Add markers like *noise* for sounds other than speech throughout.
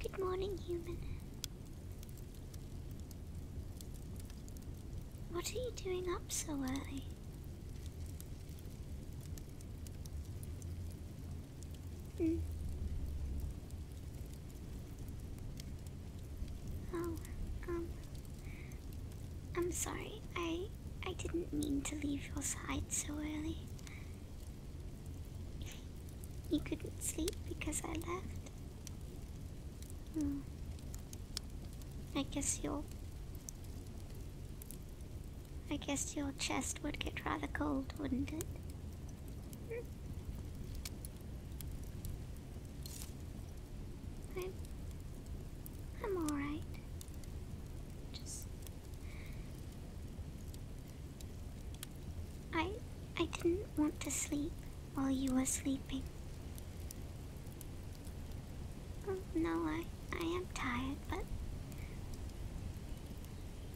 Good morning, human. What are you doing up so early? Hmm. Oh, um, I'm sorry. I I didn't mean to leave your side so early. You couldn't sleep because I left. Hmm. I guess your... I guess your chest would get rather cold, wouldn't it? I'm... I'm alright. Just... I I didn't want to sleep while you were sleeping. Oh, no, I, I am tired, but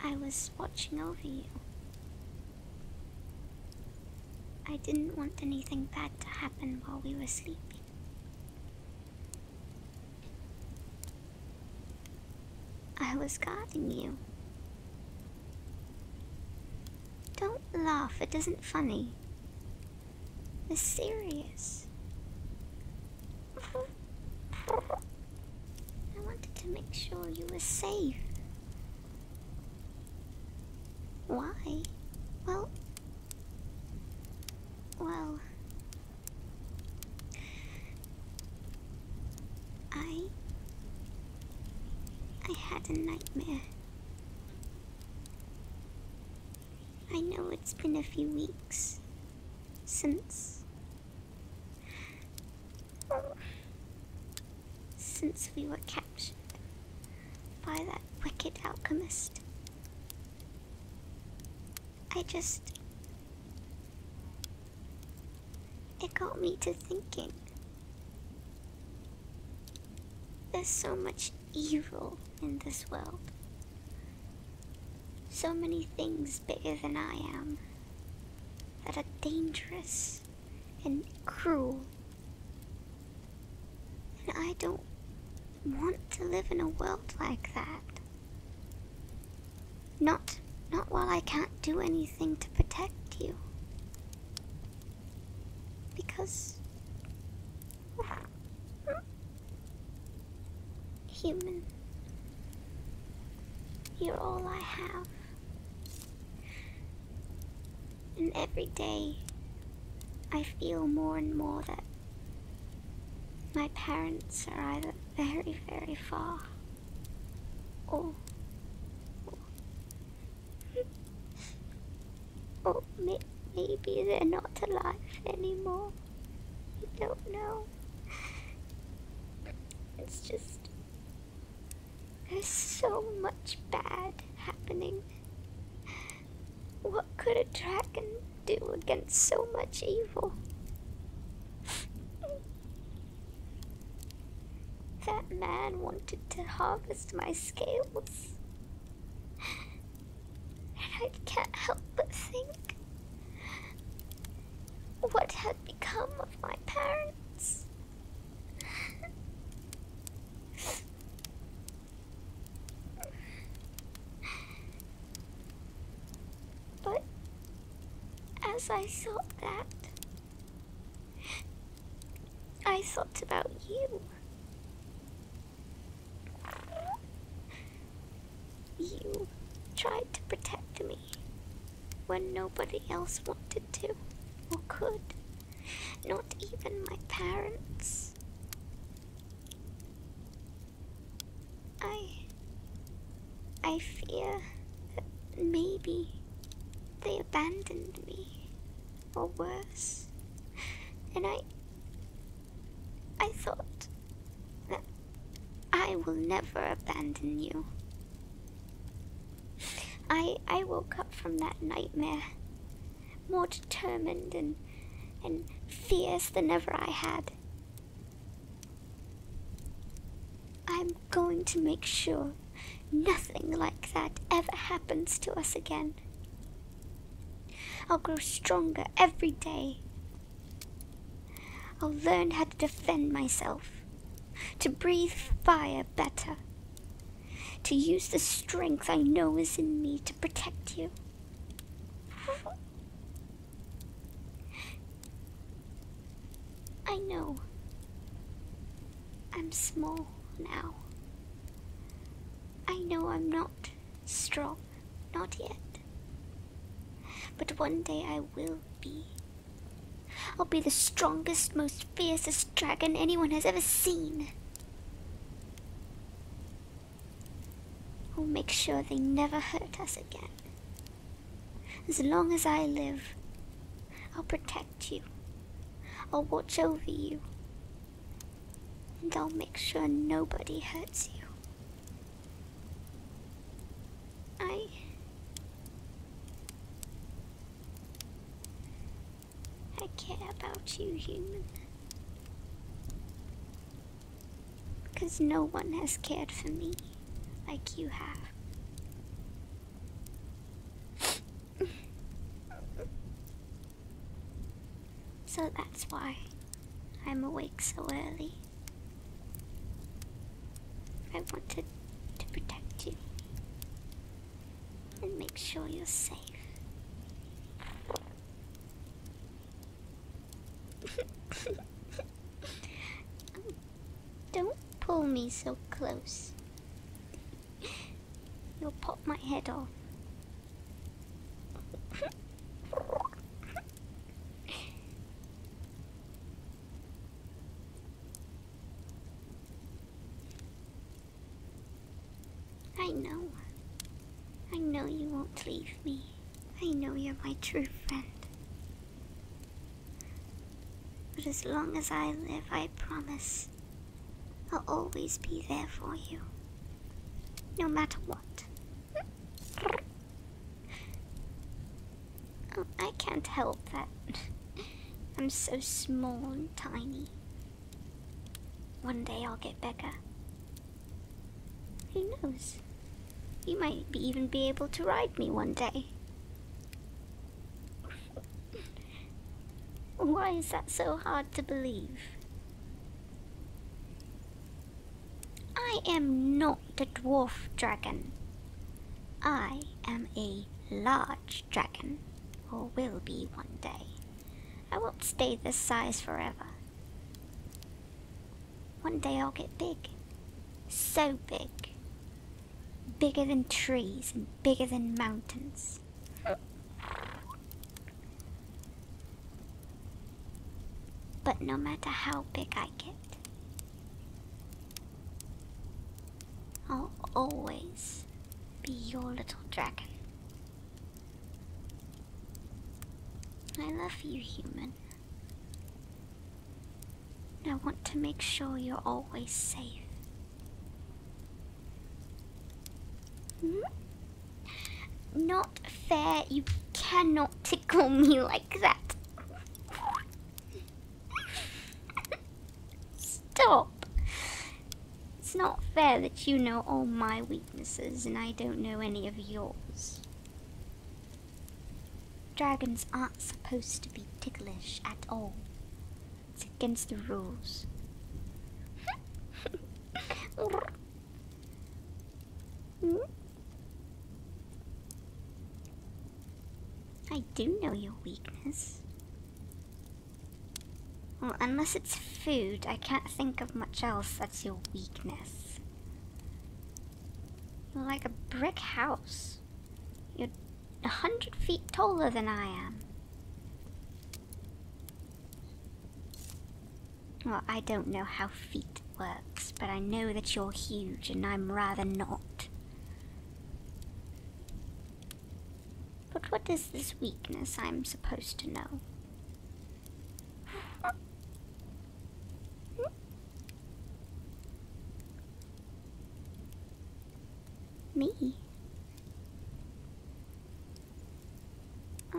I was watching over you. I didn't want anything bad to happen while we were sleeping. I was guarding you. Don't laugh, it isn't funny. It's serious. I wanted to make sure you were safe. Why? Well, well, I. I had a nightmare. I know it's been a few weeks since. Since we were captured by that wicked alchemist. I just. It got me to thinking. There's so much evil in this world. So many things bigger than I am that are dangerous and cruel. And I don't want to live in a world like that. Not, not while I can't do anything to protect you. Because human, you're all I have. And every day, I feel more and more that my parents are either very, very far. Oh. Oh, maybe they're not alive anymore. I don't know. It's just. There's so much bad happening. What could a dragon do against so much evil? That man wanted to harvest my scales. And I can't help but think what had become of my parents. But as I thought that, I thought about you. You tried to protect me when nobody else wanted to or could, not even my parents. I. I fear that maybe they abandoned me, or worse. And I. I thought that I will never abandon you. I, I woke up from that nightmare more determined and, and fierce than ever I had. I'm going to make sure nothing like that ever happens to us again. I'll grow stronger every day. I'll learn how to defend myself, to breathe fire better, to use the strength I know is in me to protect you. I know. I'm small now. I know I'm not strong, not yet. But one day I will be. I'll be the strongest, most fiercest dragon anyone has ever seen. I'll make sure they never hurt us again. As long as I live, I'll protect you. I'll watch over you. And I'll make sure nobody hurts you. I. I care about you, human. Because no one has cared for me like you have. *laughs* so that's why I'm awake so early. I wanted to protect you and make sure you're safe don't pull me so close. You'll pop my head off. I know. I know you won't leave me. I know you're my true friend. But as long as I live, I promise I'll always be there for you. No matter what. Oh, I can't help that. I'm so small and tiny. One day I'll get bigger who knows? You might even be able to ride me one day. Why is that so hard to believe? I am not the dwarf dragon. I am a large dragon, or will be one day. I won't stay this size forever. One day I'll get big. So big. Bigger than trees and bigger than mountains. But no matter how big I get, I'll always be your little dragon. I love you, human. I want to make sure you're always safe. Hmm? Not fair, you cannot tickle me *laughs* like that. Stop! It's not fair that you know all my weaknesses and I don't know any of yours. Dragons aren't supposed to be ticklish at all. It's against the rules. I do know your weakness. Well, unless it's food, I can't think of much else that's your weakness. You're like a brick house. You're a hundred feet taller than I am. Well, I don't know how feet works, but I know that you're huge and I'm rather not. But what is this weakness I'm supposed to know? Me. Ah.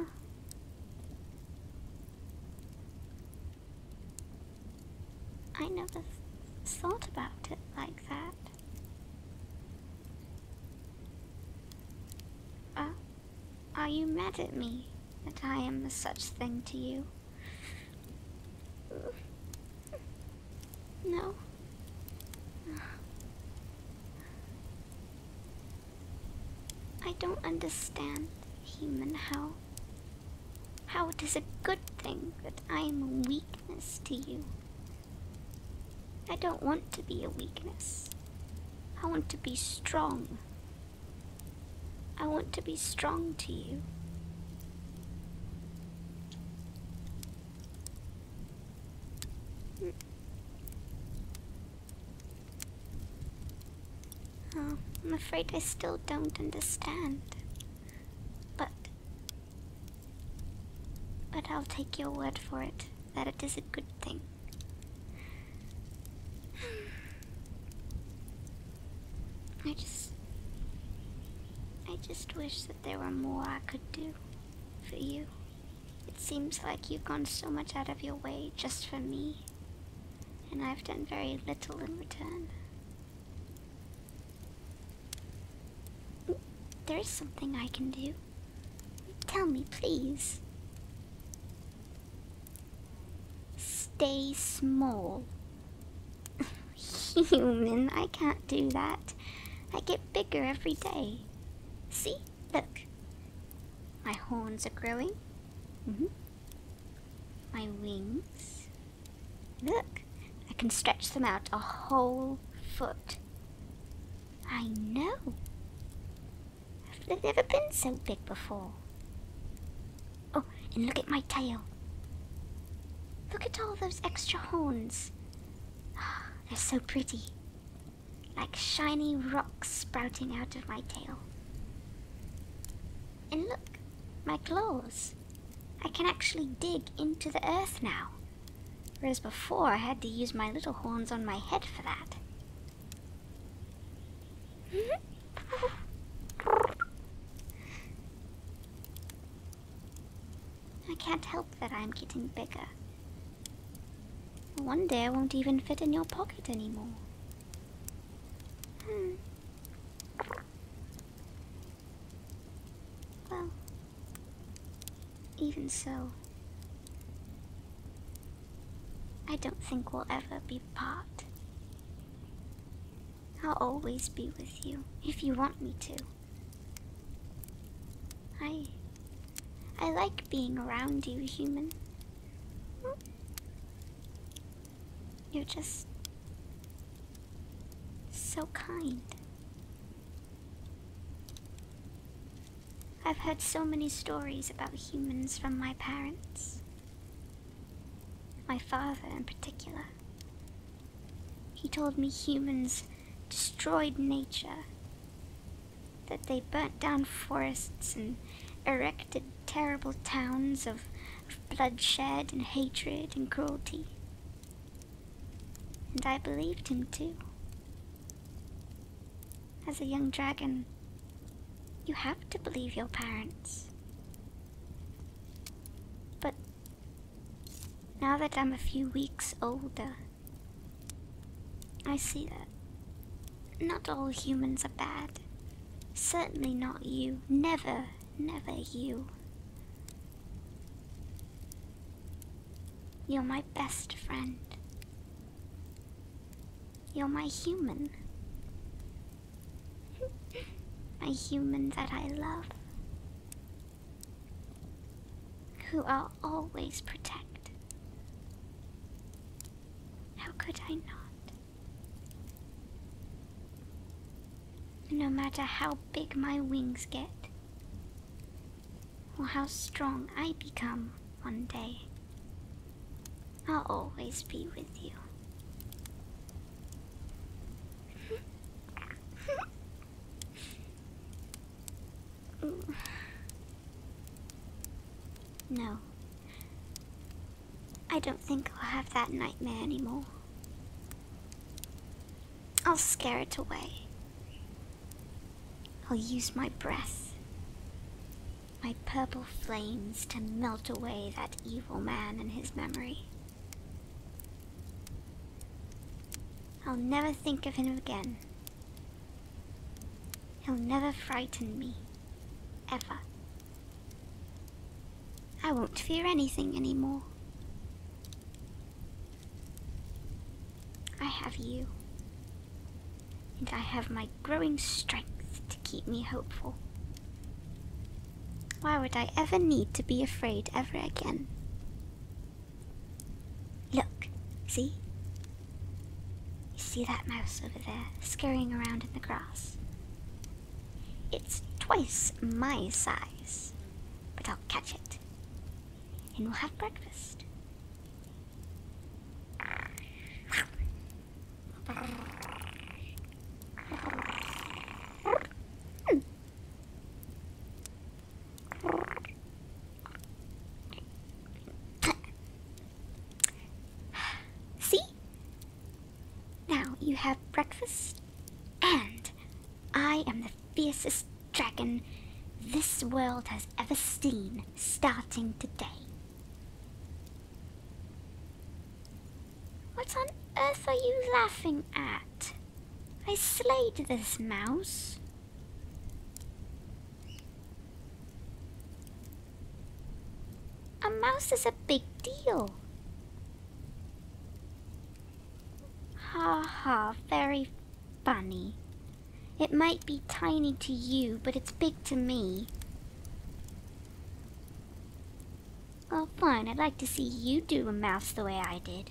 I never thought about it like that. Ah. Are you mad at me that I am such a thing to you? No. I don't understand human how. How it is a good thing that I am a weakness to you. I don't want to be a weakness. I want to be strong I want to be strong to you. Oh, I'm afraid I still don't understand. But. But I'll take your word for it that it is a good thing. I just. I just wish that there were more I could do for you. It seems like you've gone so much out of your way just for me, and I've done very little in return. There is something I can do. Tell me, please. Stay small. *laughs* Human, I can't do that. I get bigger every day. See? Look. My horns are growing. Mm -hmm. My wings. Look. I can stretch them out a whole foot. I know. I've never been so big before. Oh, and look at my tail. Look at all those extra horns. Oh, they're so pretty. Like shiny rocks sprouting out of my tail. And look, my claws. I can actually dig into the earth now. Whereas before I had to use my little horns on my head for that. I can't help that I'm getting bigger. One day I won't even fit in your pocket anymore. Hmm. Well, even so, I don't think we'll ever be apart. I'll always be with you if you want me to. I. I like being around you, human. You're just. so kind. I've heard so many stories about humans from my parents. My father, in particular. He told me humans destroyed nature, that they burnt down forests and erected terrible towns of, bloodshed and hatred and cruelty. And I believed him too. As a young dragon, you have to believe your parents. But now that I'm a few weeks older, I see that not all humans are bad. Certainly not you. Never, never you. You're my best friend. You're my human. my human that I love. Who I'll always protect. How could I not? No matter how big my wings get, or how strong I become one day. I'll always be with you. No, I don't think I'll have that nightmare anymore. I'll scare it away. I'll use my breath, my purple flames to melt away that evil man and his memory. I'll never think of him again. He'll never frighten me, ever. I won't fear anything anymore. I have you, and I have my growing strength to keep me hopeful. Why would I ever need to be afraid ever again? Look, see? You see that mouse over there, scurrying around in the grass? It's twice my size, but I'll catch it, and we'll have breakfast. See? Now you have breakfast, and I am the fiercest dragon this world has ever seen starting today. What on earth are you laughing at? I slayed this mouse. A mouse is a big deal. Ha ha, very Bunny. It might be tiny to you, but it's big to me. Well, oh, fine. I'd like to see you do a mouse the way I did.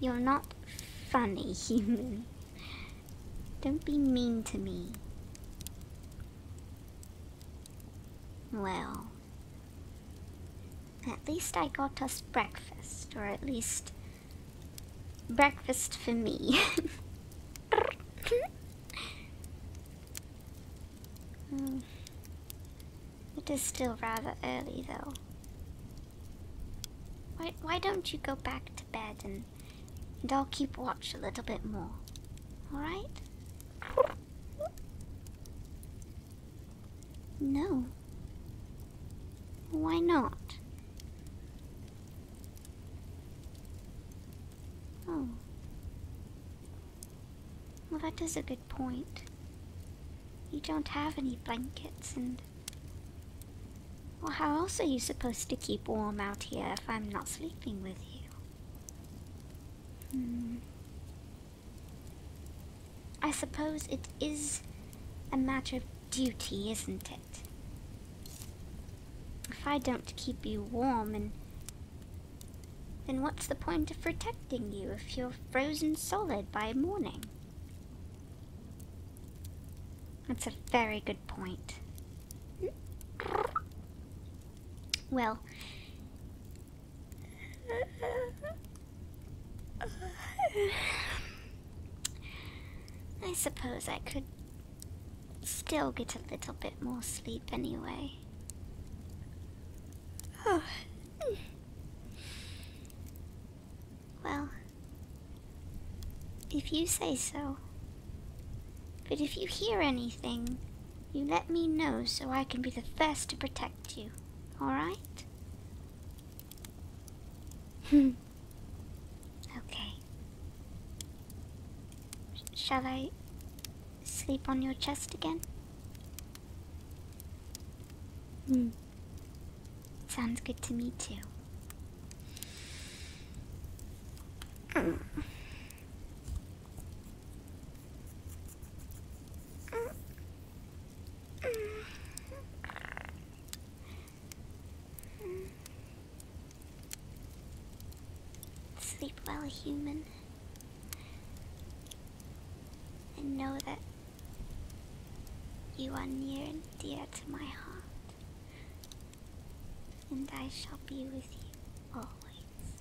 You're not funny, *laughs* human. Don't be mean to me. Well... At least I got us breakfast, or at least breakfast for me. *laughs* It is still rather early though. Why, why don't you go back to bed and, and I'll keep watch a little bit more? Alright? No. Why not? Oh. Well, that is a good point. You don't have any blankets and... Well, how else are you supposed to keep warm out here if I'm not sleeping with you? Hmm. I suppose it is a matter of duty, isn't it? If I don't keep you warm and then what's the point of protecting you if you're frozen solid by morning? That's a very good point. Well, I suppose I could still get a little bit more sleep anyway. Oh. Well, if you say so. But if you hear anything, you let me know so I can be the first to protect you alright? *laughs* okay. Shall I sleep on your chest again? Hmm. Sounds good to me too. Mm. Sleep well, human. And know that you are near and dear to my heart. And I shall be with you always.